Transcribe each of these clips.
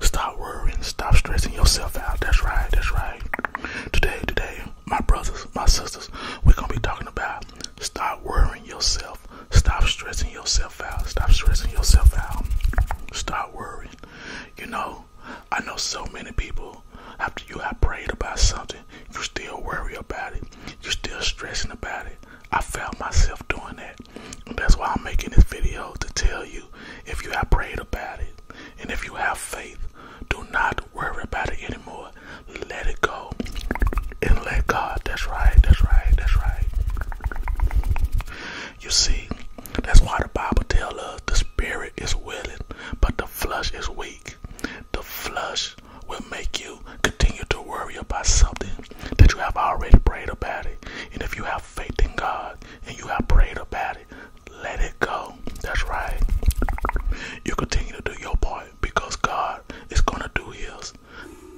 Stop worrying, stop stressing yourself out. That's right, that's right. Today, today, my brothers, my sisters, we're gonna be talking about stop worrying yourself, stop stressing yourself out, stop stressing yourself out, stop worrying. You know, I know so many people after you have prayed about something, you still worry about it, you're still stressing about it. I found myself doing that. that's why I'm making this video to tell you if you have prayed about it and if you have faith, do not worry about it anymore. Let it go and let God. That's right, that's right, that's right. You see, that's why the Bible tells us the spirit is willing, but the flesh is weak. The flesh will make you continue to worry about something that you have already prayed about it. And if you have faith in God and you have prayed about it, let it go. That's right. You continue to do your part because God is going to do His.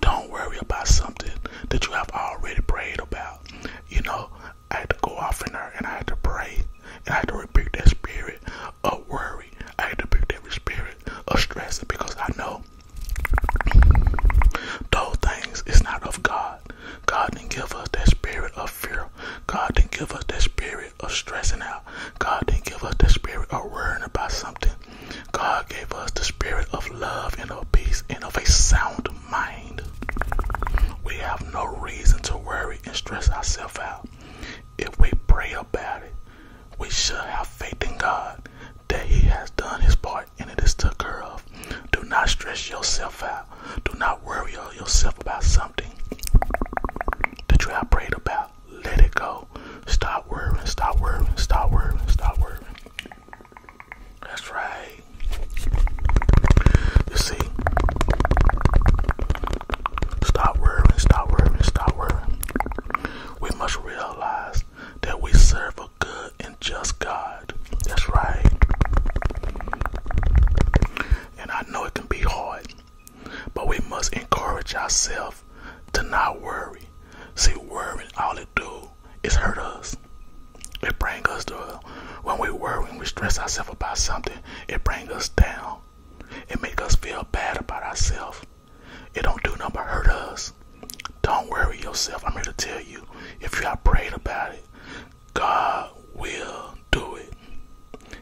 Don't worry about something that you have already prayed about. You know, I had to go off and I had to pray and I had to rebuke that spirit of worry. I had to rebuke that spirit of stress because I know those things is not of God. God didn't give us that spirit of fear. God didn't give us that spirit of stressing out. God didn't give us that spirit of worrying about something. God gave us the spirit of love and of peace and of a sound mind. We have no reason to worry and stress ourselves out. If we pray about it, we should have faith in God that he has done his part and it is took care of. Do not stress yourself out. Do not worry yourself about something that you have prayed about. Let it go. Stop worrying, stop worrying, stop worrying, stop worrying. That's right. You see, stop worrying, stop worrying, stop worrying. We must realize that we serve a good and just God. That's right. And I know it can be hard, but we must encourage ourselves to not worry. See, worrying all it do is hurt us. It brings us to when we worry and we stress ourselves about something, it brings us down. It make us feel bad about ourselves. It don't do nothing but hurt us. Don't worry yourself. I'm here to tell you, if you have prayed about it, God will do it.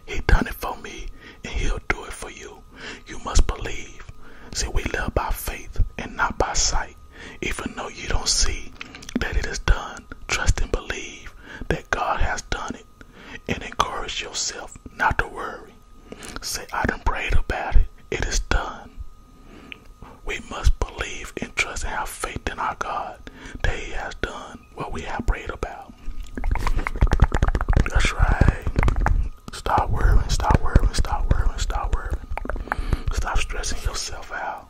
He done it for me, and he'll do it for you. You must believe. See, we live by faith and not by sight. Even though you don't see that it is done, trust and believe that God has done it. And encourage yourself not to worry. Say, I done prayed about it. It is done. We must believe and trust and have faith in our God that He has done what we have prayed about. That's right. Stop worrying, stop worrying, stop worrying, stop worrying. Stop stressing yourself out.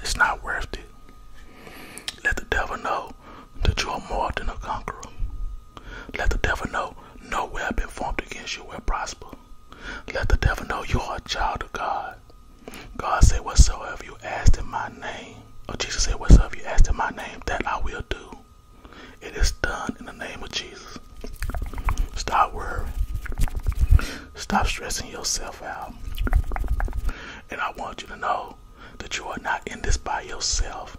It's not worth it. Let the devil know that you are more than a conqueror. Let the devil know no been formed against you will prosper. Let the devil know you are a child of God. God said, Whatsoever you ask in my name, or Jesus said, Whatsoever you asked in my name, that I will do. It is done in the name of Jesus. Stop worrying. Stop stressing yourself out. And I want you to know that you are not in this by yourself.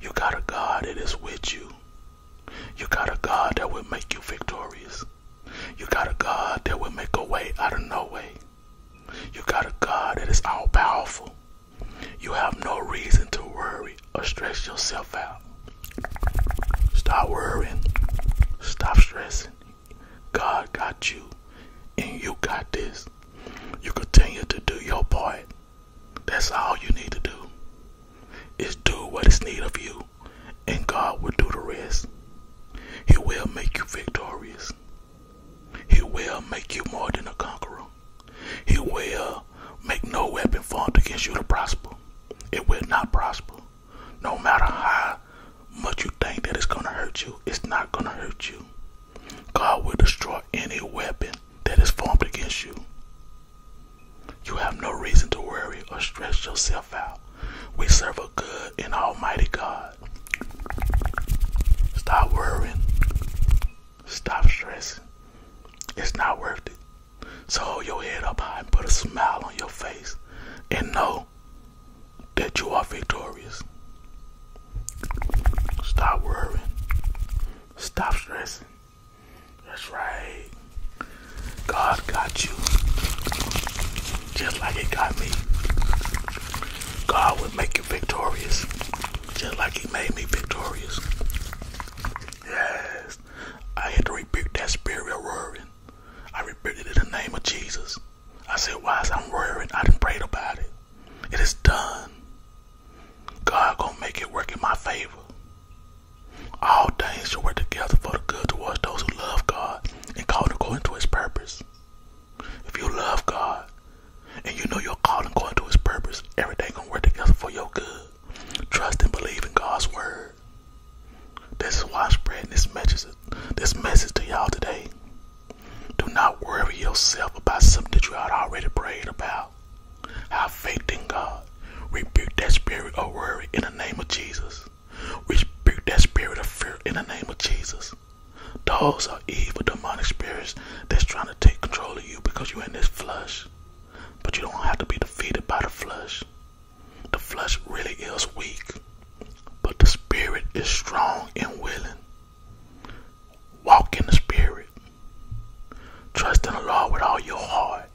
You got a God that is with you. You got a God that will make you victorious. You got a God that will make a way out of no way. You got a God that is all powerful. You have no reason to worry or stress yourself out. Stop worrying. Stop stressing. God got you, and you got this. You continue to do your part that's all you need to do is do what is needed of you, and God will do the rest. He will make you victorious. He will make you more than a conqueror. He will make no weapon formed against you to prosper. It will not prosper. No matter how much you think that it's going to hurt you, it's not going to hurt you. God will destroy any weapon that is formed against you. You have no reason to worry or stress yourself out. We serve a good and almighty God. Stop worrying. Stop stressing. It's not worth it. So hold your head up high and put a smile on your face and know that you are victorious. Stop worrying. Stop stressing. That's right. God got you. Just like he got me. God would make you victorious. Just like he made me victorious. Yes. I had to rebuke that spirit of worrying. I rebuke it in the name of Jesus. I said, "Wise, I'm worried? I didn't pray about it. It is done. God gonna make it work in my favor. All things shall work together for the good towards those who love God and called according to his purpose. If you love God and you know you're called according to his purpose, everything gonna work together for your good. Trust and believe in God's word. This is why I'm spreading this message, this message to y'all today. Do not worry yourself about something that you had already prayed about. Have faith in God. Rebuke that spirit of worry in the name of Jesus. Rebuke that spirit of fear in the name of Jesus. Those are evil demonic spirits that's trying to take control of you because you're in this flesh. But you don't have to be defeated by the flesh. The flesh really is weak, but the spirit is strong and willing. Walk in the Spirit. Trust in the Lord with all your heart.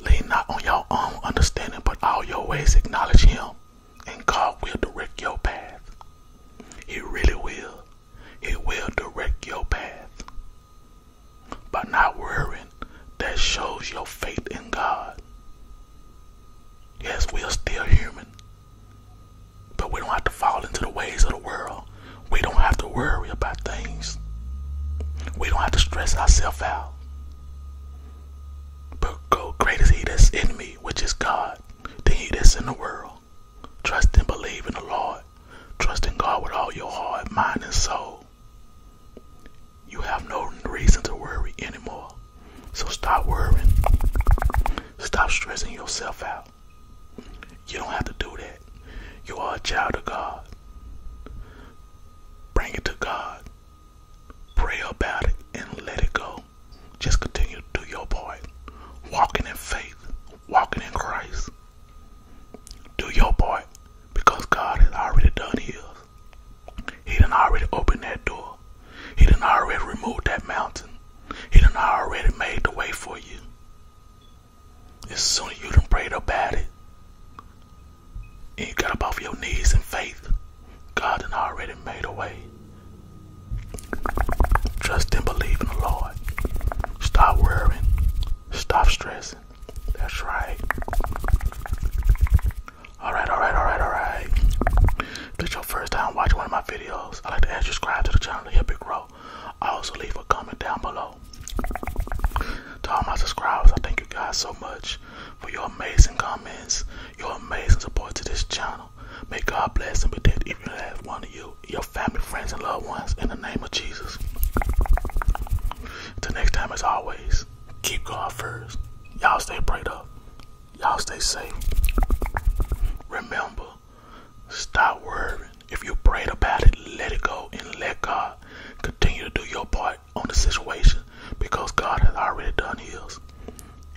Lean not on your own understanding, but all your ways acknowledge Him, and God will direct your path. He really will. He will direct your path. By not worrying, that shows your faith in God. Yes, we are still human. But we don't have to fall into the ways of the world. We don't have to worry about things. We don't have to stress ourselves out. But go, great is He that's in me, which is God, than He that's in the world. Trust and believe in the Lord. Trust in God with all your heart, mind, and soul. You have no reason to worry anymore. So stop worrying. Stop stressing yourself out. You don't have to do that. You are a child of God. Bring it to God. Pray about it and let it go. Just continue to do your part. Walking in faith, walking in Christ. Do your part because God has already done his. He done already opened that door. He done already removed that mountain. He done already made the way for you. As soon as you done prayed about it, and you got up off your knees in faith, God done already made a way. Trust and believe in the Lord. Stop worrying. Stop stressing. That's right. Alright, alright, alright, alright. If it's your first time watching one of my videos, I'd like to ask you to subscribe to the channel to help it grow. I also leave a comment down below. To all my subscribers, I thank you guys so much for your amazing comments, your amazing support to this channel. May God bless and protect each and every one of you, your family, friends, and loved ones in the name of Jesus. Till next time, as always, keep going first. Y'all stay bright up. Y'all stay safe. Remember, stop worrying. If you prayed about it, let it go and let God continue to do your part on the situation because God has already done his.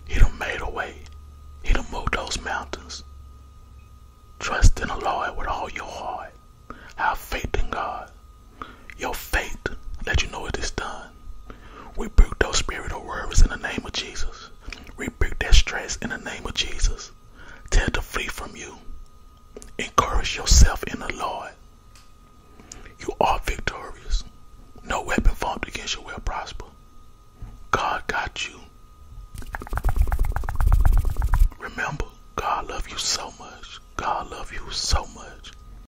He done made a way. He done moved those mountains. Trust in the Lord with all your heart. Have faith in God. Your faith let you know it is done. We break those spiritual worries in the name of Jesus. We break that stress in the name of Jesus. Tell to flee from you. Encourage yourself in the Lord. You are victorious. No weapon formed against you will prosper. God got you. Remember, God loves you so much. God loves you so much.